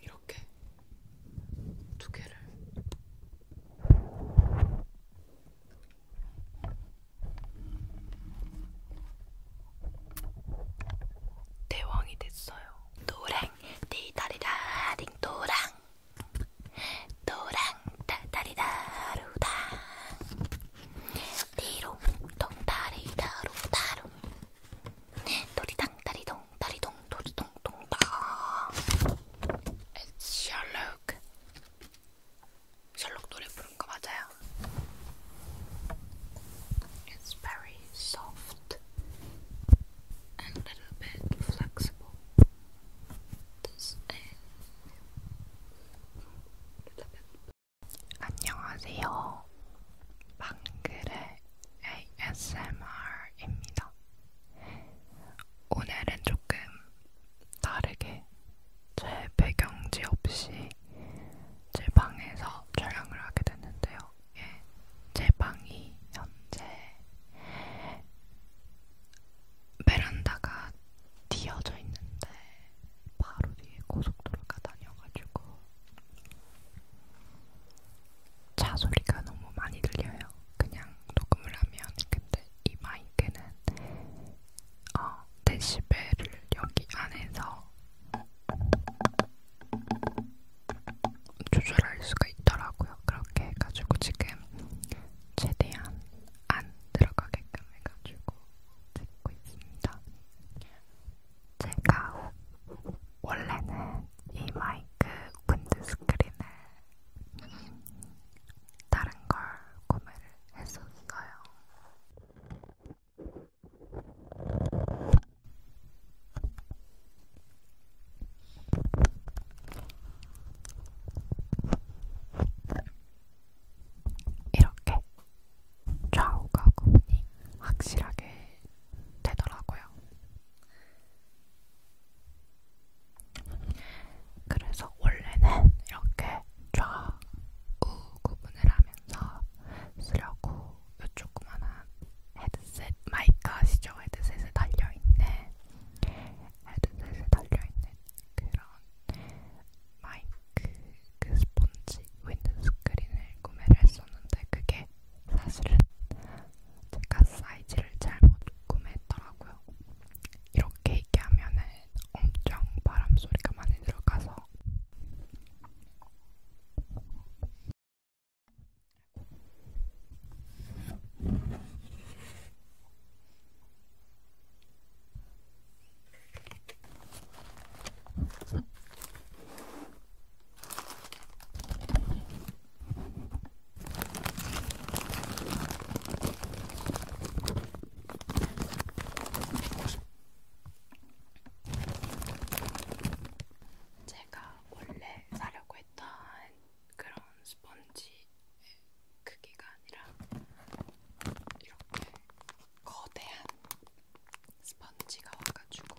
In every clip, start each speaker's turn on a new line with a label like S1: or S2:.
S1: 이렇게 두 개를 대왕이 됐어요. 노래 디다리다링 도랑 도랑 다다리다루다 디롱 동다리다루다루 도리당 다리동 다리동 도리동 동다 셜록 셜록 노래 부른 거 맞아요? It's very soft. and a little bit flexible. This is a bit. 안녕하세요. 방글의 ASMR입니다. 오늘은 조금 다르게 제 배경지 없이 제 방에서 촬영을 하게 됐는데요. 예, 제 방이 현재 베란다가 뒤어져 있는데 바로 뒤에 고속도로가 다녀가지고 차 소리가 너무 많이 들려요. 그냥 녹음을 하면 근데 이 마이크는 어, 데시벨을 여기 안에서 조절할 수가 있더라고요. 그렇게 해가지고 지금 최대한 안 들어가게끔 해가지고 찍고 있습니다. 제가 원래는 이 마이크 윈드스크린을 다른 걸 구매를 했었어요. 이렇게 좌우가 구분이 확실하게 되더라고요. 그래서 원래는 이렇게 좌우 구분을 하면서 쓰려고 요 조그만한 헤드셋 마이크 아시죠? 헤드셋에 달려있는 헤드셋에 달려있는 그런 마이크 그 스펀지 윈드스크린을 구매를 했었는데 그게 사실은 제가 사이즈를 잘못 구매했더라고요. 이렇게 얘기하면은 엄청 바람 소리가 많이 들어가서 제가 원래 사려고 일단 그런 스펀지의 크기가 아니라 이렇게 거대한 스펀지가 와가지고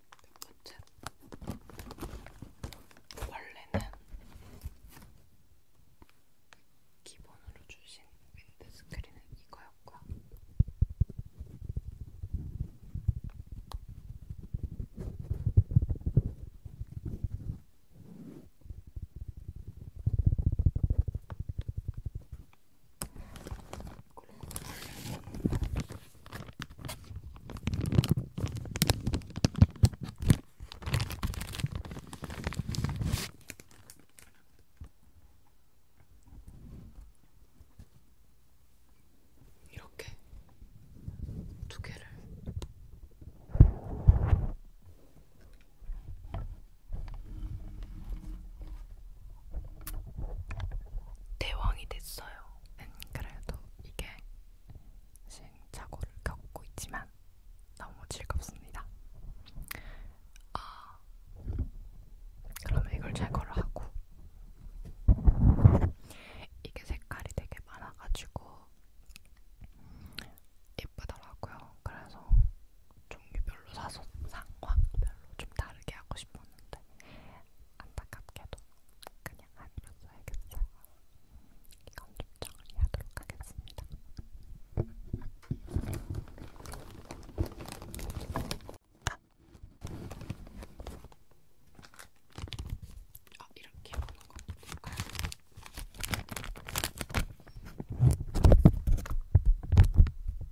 S1: 백꽃은 그 원래는 기본으로 주신 윈드스크린은 이거였고 이렇게 두 개를 대왕이 됐어요. 는 음, 그래도 이게 시행착오를 겪고 있지만 너무 즐겁습니다. 아, 그러면 이걸 제거를 하고 이게 색깔이 되게 많아가지고 예쁘더라고요. 그래서 종류별로 사서 상황별로 좀 다르게 하고 싶었는데 안타깝게도 그냥 아니로 써야겠어요. 이건 좀 정리하도록 하겠습니다. 아, 이렇게 하는 거 볼까요?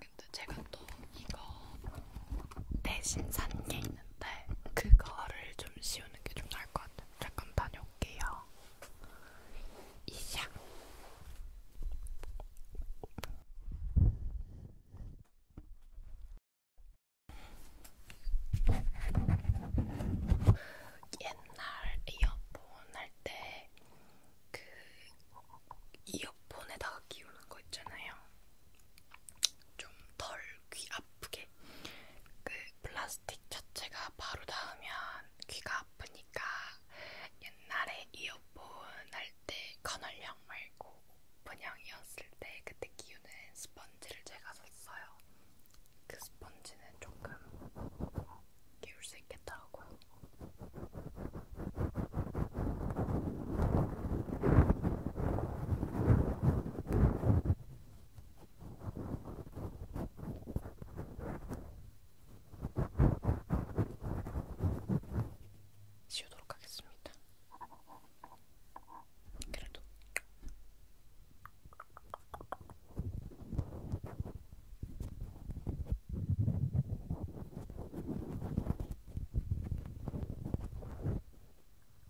S1: 근데 제가 또 이거 대신 산 게 있는데 그거를 좀 씌우는 게 좀 나을 것 같아요. 잠깐 다녀올게요. 이샤. 옛날 이어폰 할 때 그 이어폰에다가 끼우는 거 있잖아요. 좀 덜 귀 아프게 이게 그 플라스틱 자체가 바로 닿으면 귀가 아프니까 옛날에 이어폰 할 때 커널형 말고 오픈형이었을 때 그때 끼우는 스펀지를 제가 샀어요. 그 스펀지는 조금 끼울 수 있겠더라고요. 지우도록 하겠습니다. 그래도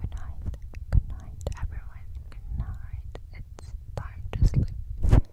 S1: Good night, good night everyone, good night. It's time to sleep.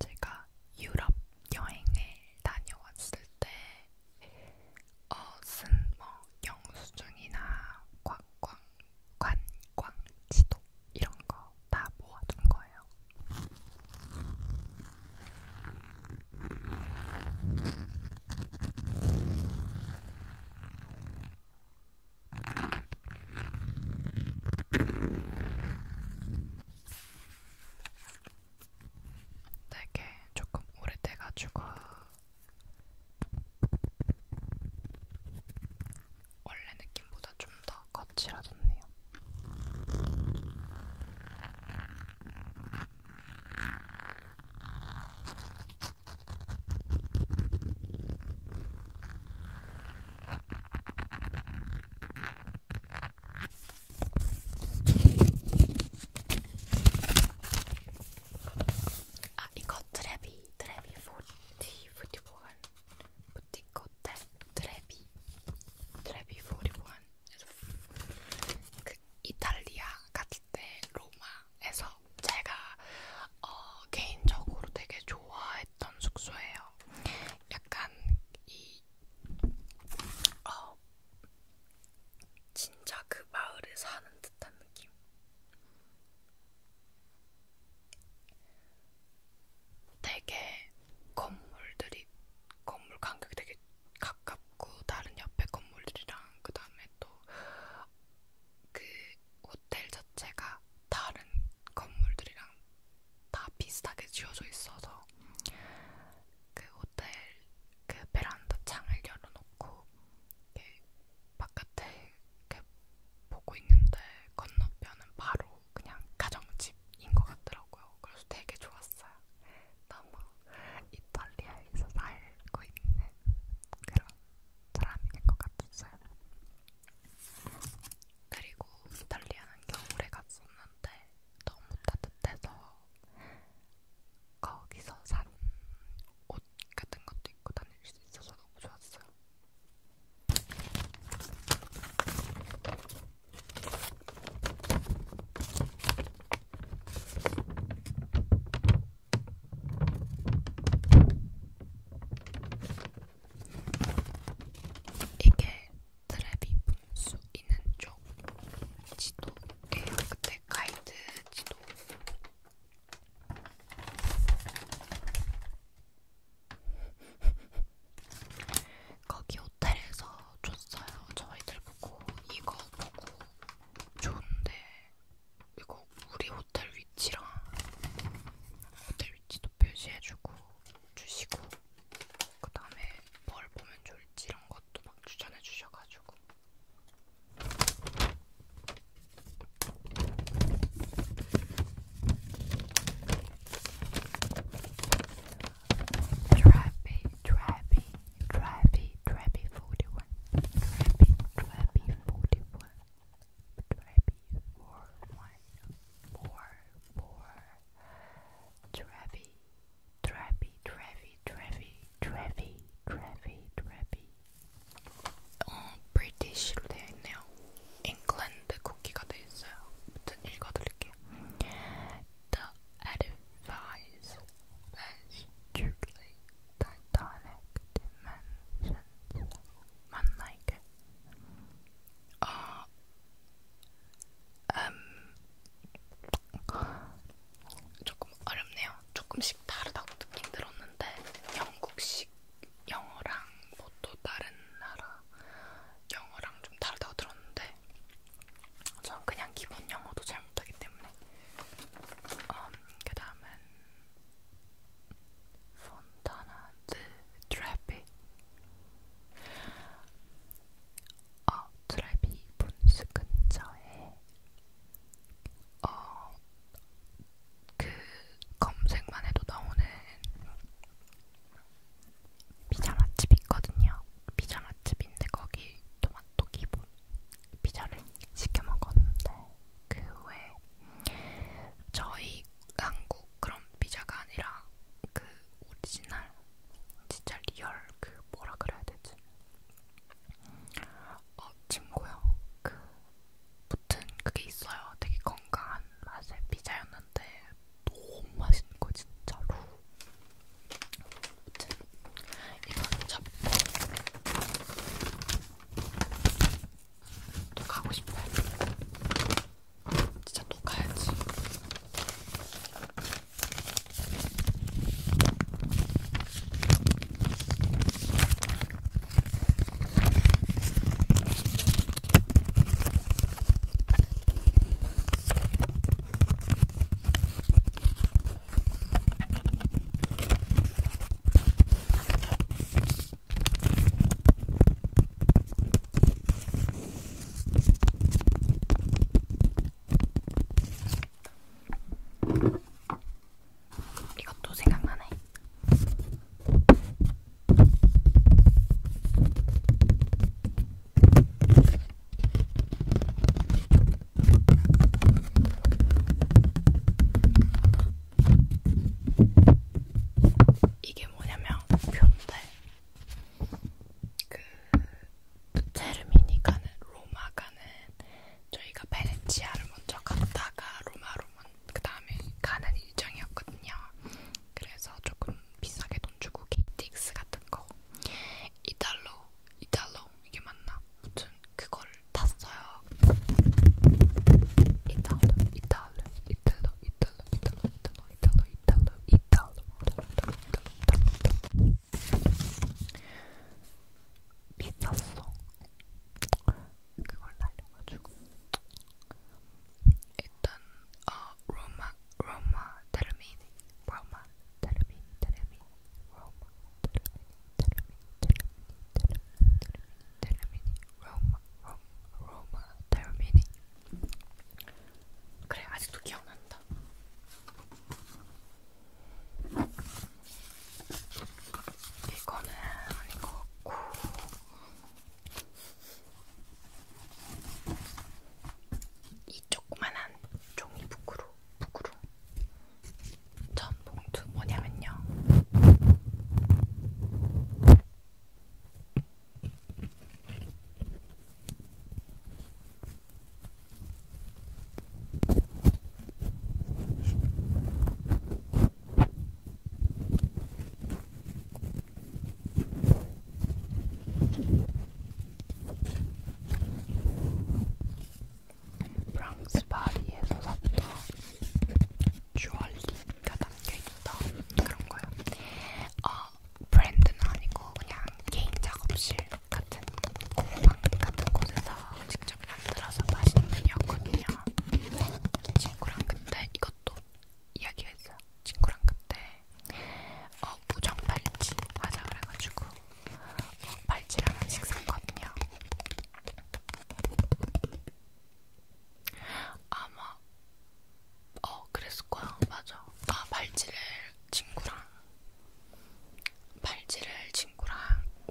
S1: 제가 유럽 여행을 다녀왔을 때, 어, 쓴 뭐, 영수증이나 관광, 관광 지도 이런 거 다 모아둔 거예요. 되게 조금 오래돼가지고 원래 느낌보다 좀 더 거칠어졌네요. 아 이거 트레비 트레비 40, 41 부티 Hotel Trevi Trevi 41에서 그 이탈리아 갔을 때 로마에서 제가 어, 개인적으로 되게 좋아했던 숙소예요. 약간 이 어, 진짜 그 마을에 사는 듯한 느낌. 되게 건물들이 건물 간격이 되게 가깝고 다른 옆에 건물들이랑 그 다음에 또 그 호텔 자체가 다른 건물들이랑 다 비슷하게 지어져 있어서 그 호텔 그 베란다 창을 열어놓고 바깥에 이렇게 보고 있는데 건너편은 바로 그냥 가정집인 것 같더라고요. 그래서 되게 좋았어요. 너무 이탈리아에서 살고 있는 그런 사람인 것 같았어요. 그리고 이탈리아는 겨울에 갔었는데 너무 따뜻해서 거기서 산 옷 같은 것도 입고 다닐 수 있어서 너무 좋았어요. 이게 트랩이 분수 있는 쪽 지도예요. 그때 가이드 지도. 거기 호텔에서 줬어요. 저희들 보고 이거 보고 좋은데 이거 우리 호텔 위치랑 호텔 위치도 표시해주고 주시고 그 다음에 뭘 보면 좋을지 이런 것도 막 추천해주셔가지고 Trappy, trappy, trappy, trappy 41. Trappy, trappy 41. Trappy 41. More, more. Trappy, trappy, trappy, trappy, trappy, trappy, trappy. Oh, On British now. 잉글랜드 국기가 돼 있어요. 아무튼 읽어드릴게요. The edifice was strictly Titanic dimensions. 맞나 이게? 어, 음, 조금 어렵네요. 조금씩 다르다고 느낀 들었는데 영국식 영어랑 뭐 또 다른 나라 영어랑 좀 다르다고 들었는데 전 그냥 기본 영어도 잘 못하기 때문에 음, 그 다음은 폰타나 드 트래피 어, 트래피 분수 근처에 어, 그 검색만 해도 나오는 피자 맛집 있거든요. 피자 맛집인데 거기 토마토 기본 피자를 시켜 먹었는데 그 후에 저희 한국 그런 피자가 아니라 그 오리지널 진짜 리얼 그 뭐라 그래야 되지? 어 친구요 그 붙은 그게 있어요. 되게 건강한 맛의 피자였는데 너무 맛있는 거 진짜로. 아무튼 이거는 잡고 또 가고 싶어요. 진짜 또 가야지. 이것도 생각나네. 이게 뭐냐면 표인데 그 체르미니 가는 로마 가는 저희가 베네치아를 먼저 갔다가 로마로 그러면 그 다음에 가는 일정이었거든요. 그래서 조금 비싸게 돈 주고 KTX 같은 거 이달로 이달로 이게 맞나? 무튼 그걸 탔어요. 이달로 이달로 이달로 이달로 이달로 이달로 이달로 이달로 이달로 비쌌어. 그걸 날려가지고 일단 어 로마 로마 테르미니 로마 테르미니 테르미니 로마 테르미니 테르미니 테르미니 테르미니 로마 로마 로마 테르미니 그래 아직도 기억난다. 이거는 아닌 것 같고 이 조그만한 종이 부끄루, 부끄루. 전 봉투 뭐냐면요. 프랑스 파리에서 샀던 주얼리가 담겨있다 그런거요 어, 브랜드는 아니고 그냥 개인 작업실 같은 공방 같은 곳에서 직접 만들어서 맛있는 편이었거든요 친구랑 근데 이것도 이야기했어. 친구랑 그때 어, 무정 팔찌 하자 그래가지고 어, 팔찌랑 한식 샀거든요. 아마 어 그랬을 거야. 맞아. 아 팔찌를 친구랑 팔찌를 친구랑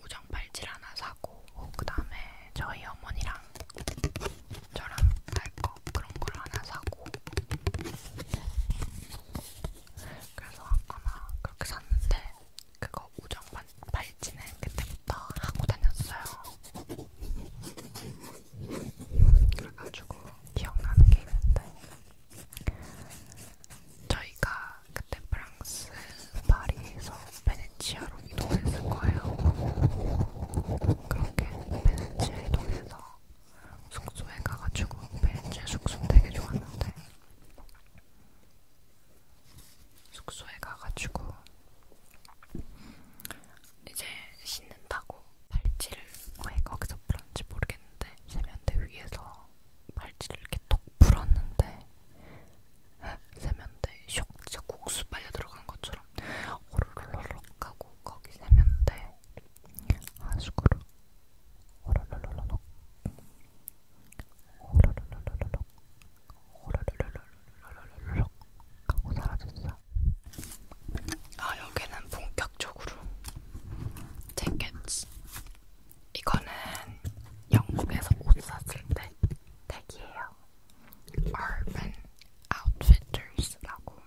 S1: 우정 팔찌를 하나 사고 그 다음에 저희 어머니랑 저랑 할거 그런 걸 하나 사고 그래서 아마 그렇게 샀는데 그거 우정 반, 발찌는 그때부터 하고 다녔어요. 그래가지고 기억나는 게 있는데 저희가 그때 프랑스 파리에서 베네치아로 이동했을 거예요. 그렇게 베네치아 이동해서 숙소에 가가지고 베네치아 숙소 되게 좋았는데 숙소에 가가지고 이제 씻는다고 발찌를 왜 거기서 풀었는지 모르겠는데 세면대 위에서 발찌를 이렇게 톡 풀었는데 세면대 쇽 진짜 국수 빨려 들어간 것처럼 오르르르륵 하고 거기 세면대 하수구로 오르르르륵 오르르르륵 오르르르륵 하고 사라졌어 아 여기는 본격적으로 재킷 이거는 영국에서 옷 샀을 때 택이에요 Urban Outfitters라고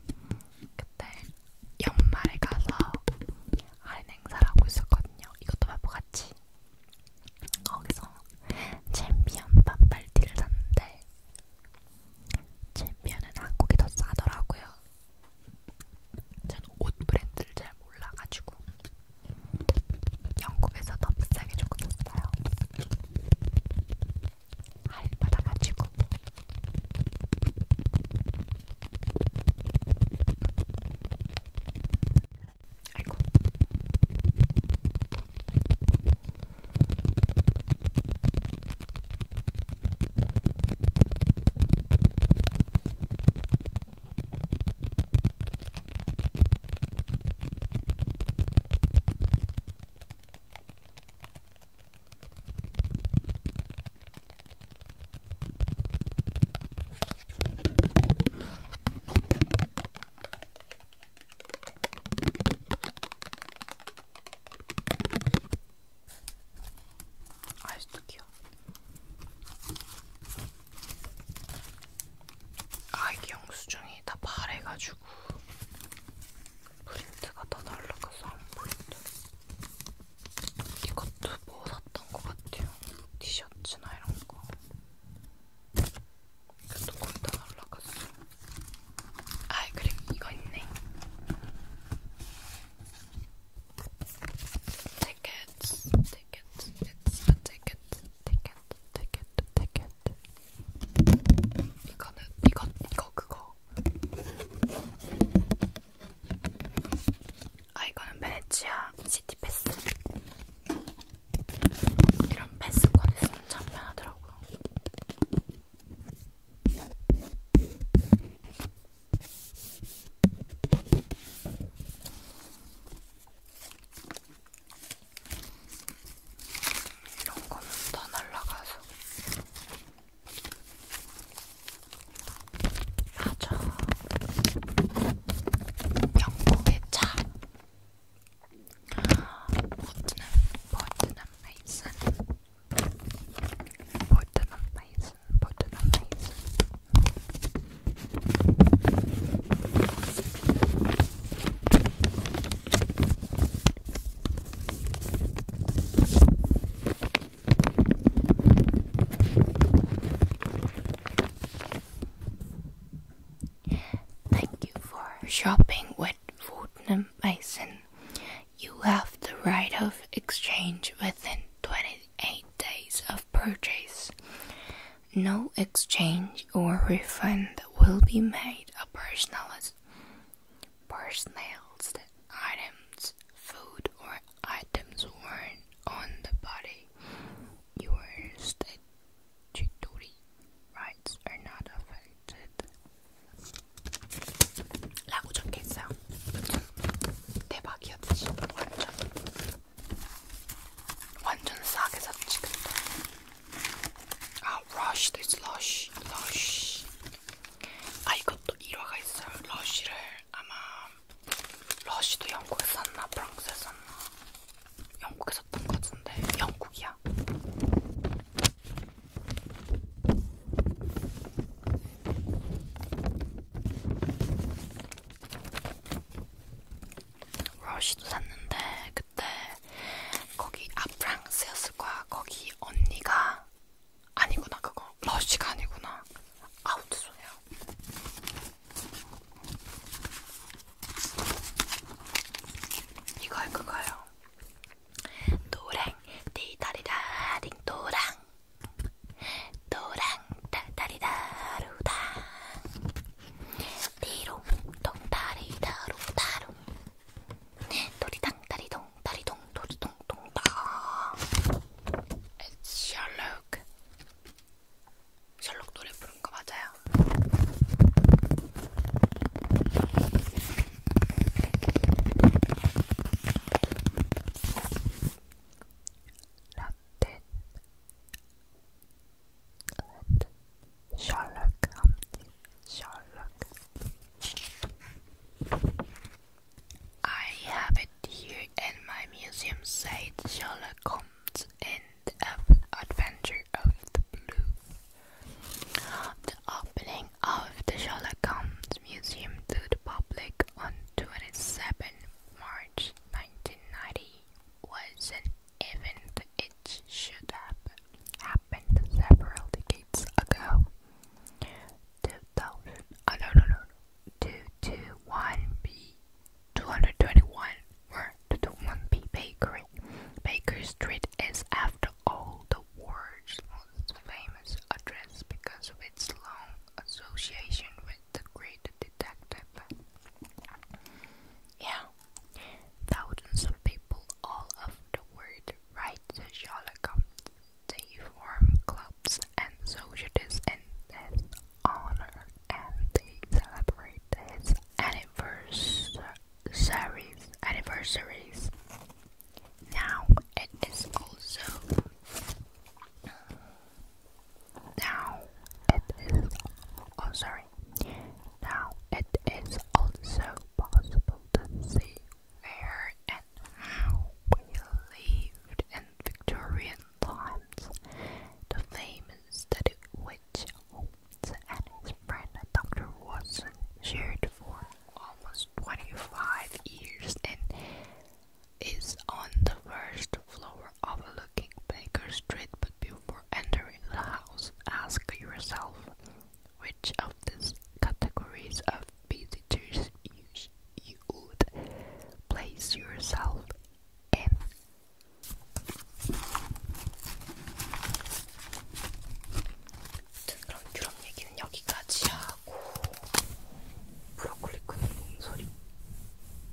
S1: 그때 연말에 가서 할인 행사를 하고 있었거든요. 이것도 말고 같이 거기서 챔피언 반팔티를 샀는데 챔피언은 한국이 더 싸더라고요. 저는 옷 브랜드를 잘 몰라가지고 영국에서 더 비싸게 조금 샀어요. はいまた待ちこは 아직도 귀여워. 아 이게 영수증이 다 발해가지고 해가지고 프린트가 다 날라가서 안 보인다. 이것도 뭐 샀던 것 같아요. 티셔츠나 이런 거. 이것도 거의 다 날라갔어. 아, 그리고 이거 있네. Tickets, tickets, it's a ticket, ticket, ticket, ticket. 이거는 이거 이거 그거. 아 이거는 베네치아 시티 패스. 이런 패스권 있으면 참 편하더라고요. 이런 거면 다 날라가서. 맞아. 영국의 차. 버튼은 버튼은 베이슨. 버튼은 베이슨. 버튼은 베이슨. Thank you for shopping with Fortnum Mason. You have the right of exchange within 28 days of purchase. No exchange or refund will be made of personalized personalized items, food, or items worn on the body. Your statutory rights are not affected. 라고 적혀있어요. 대박이었지 완전 완전 싸게 샀지 아, 루시 there's 루시, 루시. 아, 이것도 일화가 있어요. 루시를 아마 러시도 영국에 샀나 프랑스에 샀나 영국에 샀던 것 같은데 영국이야. 러시도 샀는데 그 그때 거기 아 프랑스였을 거야. 거기 언니가 아니구나 그거 러쉬가 아니구나. 아우 죄송해요. 이거요 그거요. 노랑 띠다리다 딩도랑 노랑 따다리다루당 리롱 동다리 다롱 다롱 네, 도리당 다리동 다리동 도리동 동당 셜록 셜록 노래 부른 거 맞아요? 라틴 Let I have it here in my museum, said Sherlock Holmes in Adventure of the Blue. The opening of the Sherlock Museum to the public on 27 March 1990 was an event it should have happened several decades ago. 2000, oh no, no, no, 221B, 221, or 221B Bakery. Baker Street is, after all, the world's most famous address because of its long association with the great detective. Yeah, Thousands of people all over the world write to Shalakov. They form clubs and societies in his honor and they celebrate his anniversaries. Now it is also now it is oh sorry now it is also possible to see where and how we lived in Victorian times. The famous study which Holmes and his friend Dr. Watson shared for almost 25 years and is on the first floor of Baker Street, but before entering the house, ask yourself which of these categories of visitors you, would place yourself in. 그럼 유럽 얘기는 여기까지 하고 브로콜리 굽는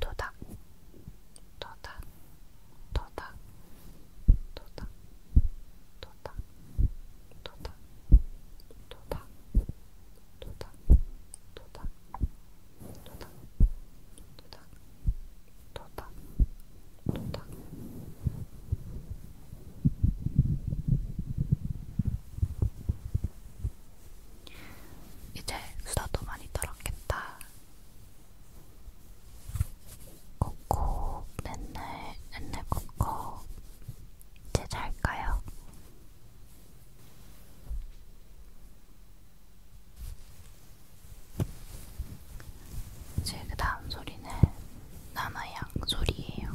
S1: 도닥 도닥 도닥 도닥 도닥 도닥 도닥 도닥 도닥 도닥 도닥 도닥 도닥 도닥 이제 수다도 많이 떨었겠다. 코코 맨날 맨날 코코 이제 잘까요? 이제 그 다음 소리는 나나양 소리예요.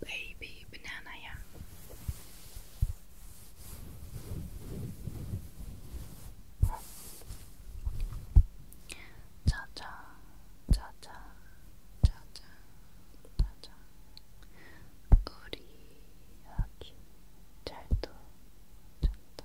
S1: 베이비 바나나야. 자자, 자자, 자자, 자자. 우리 아기 잘도 잤다.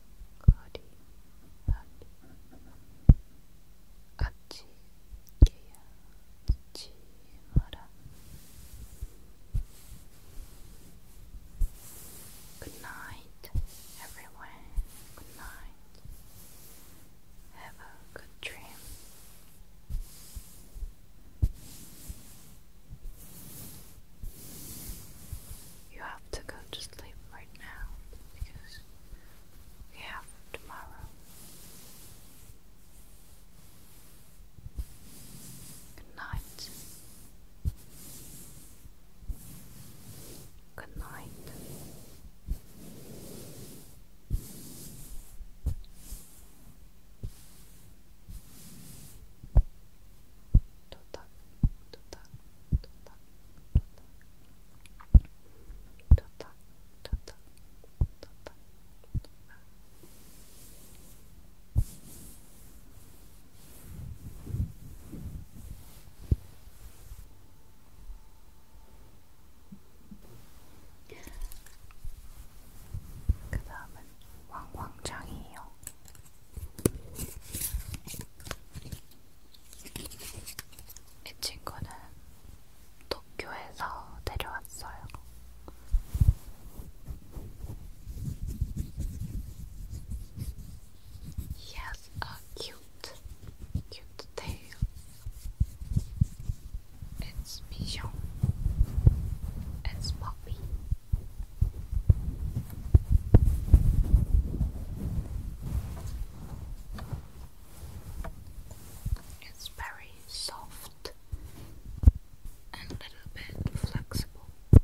S1: Good night, everyone. Good night. Have a good dream. You have to go to sleep right now because we have tomorrow. Good night. Good night. Tutak, tutak, tutak. 좋다, 좋다, 좋다. 그 다음은 왕왕장이에요. 이 친구는 도쿄에서 내려왔어요. He a cute, cute tail. It's Bichon. It's Poppy. It's very soft and a little bit flexible. a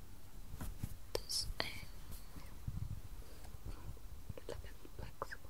S1: little bit flexible.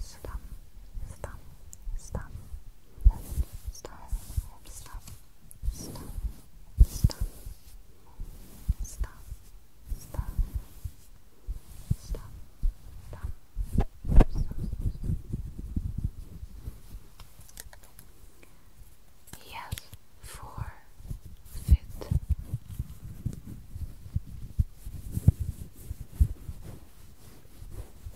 S1: stum, stum, stum, stum, stum, stum, stum, stum, stum, stum, he has four fit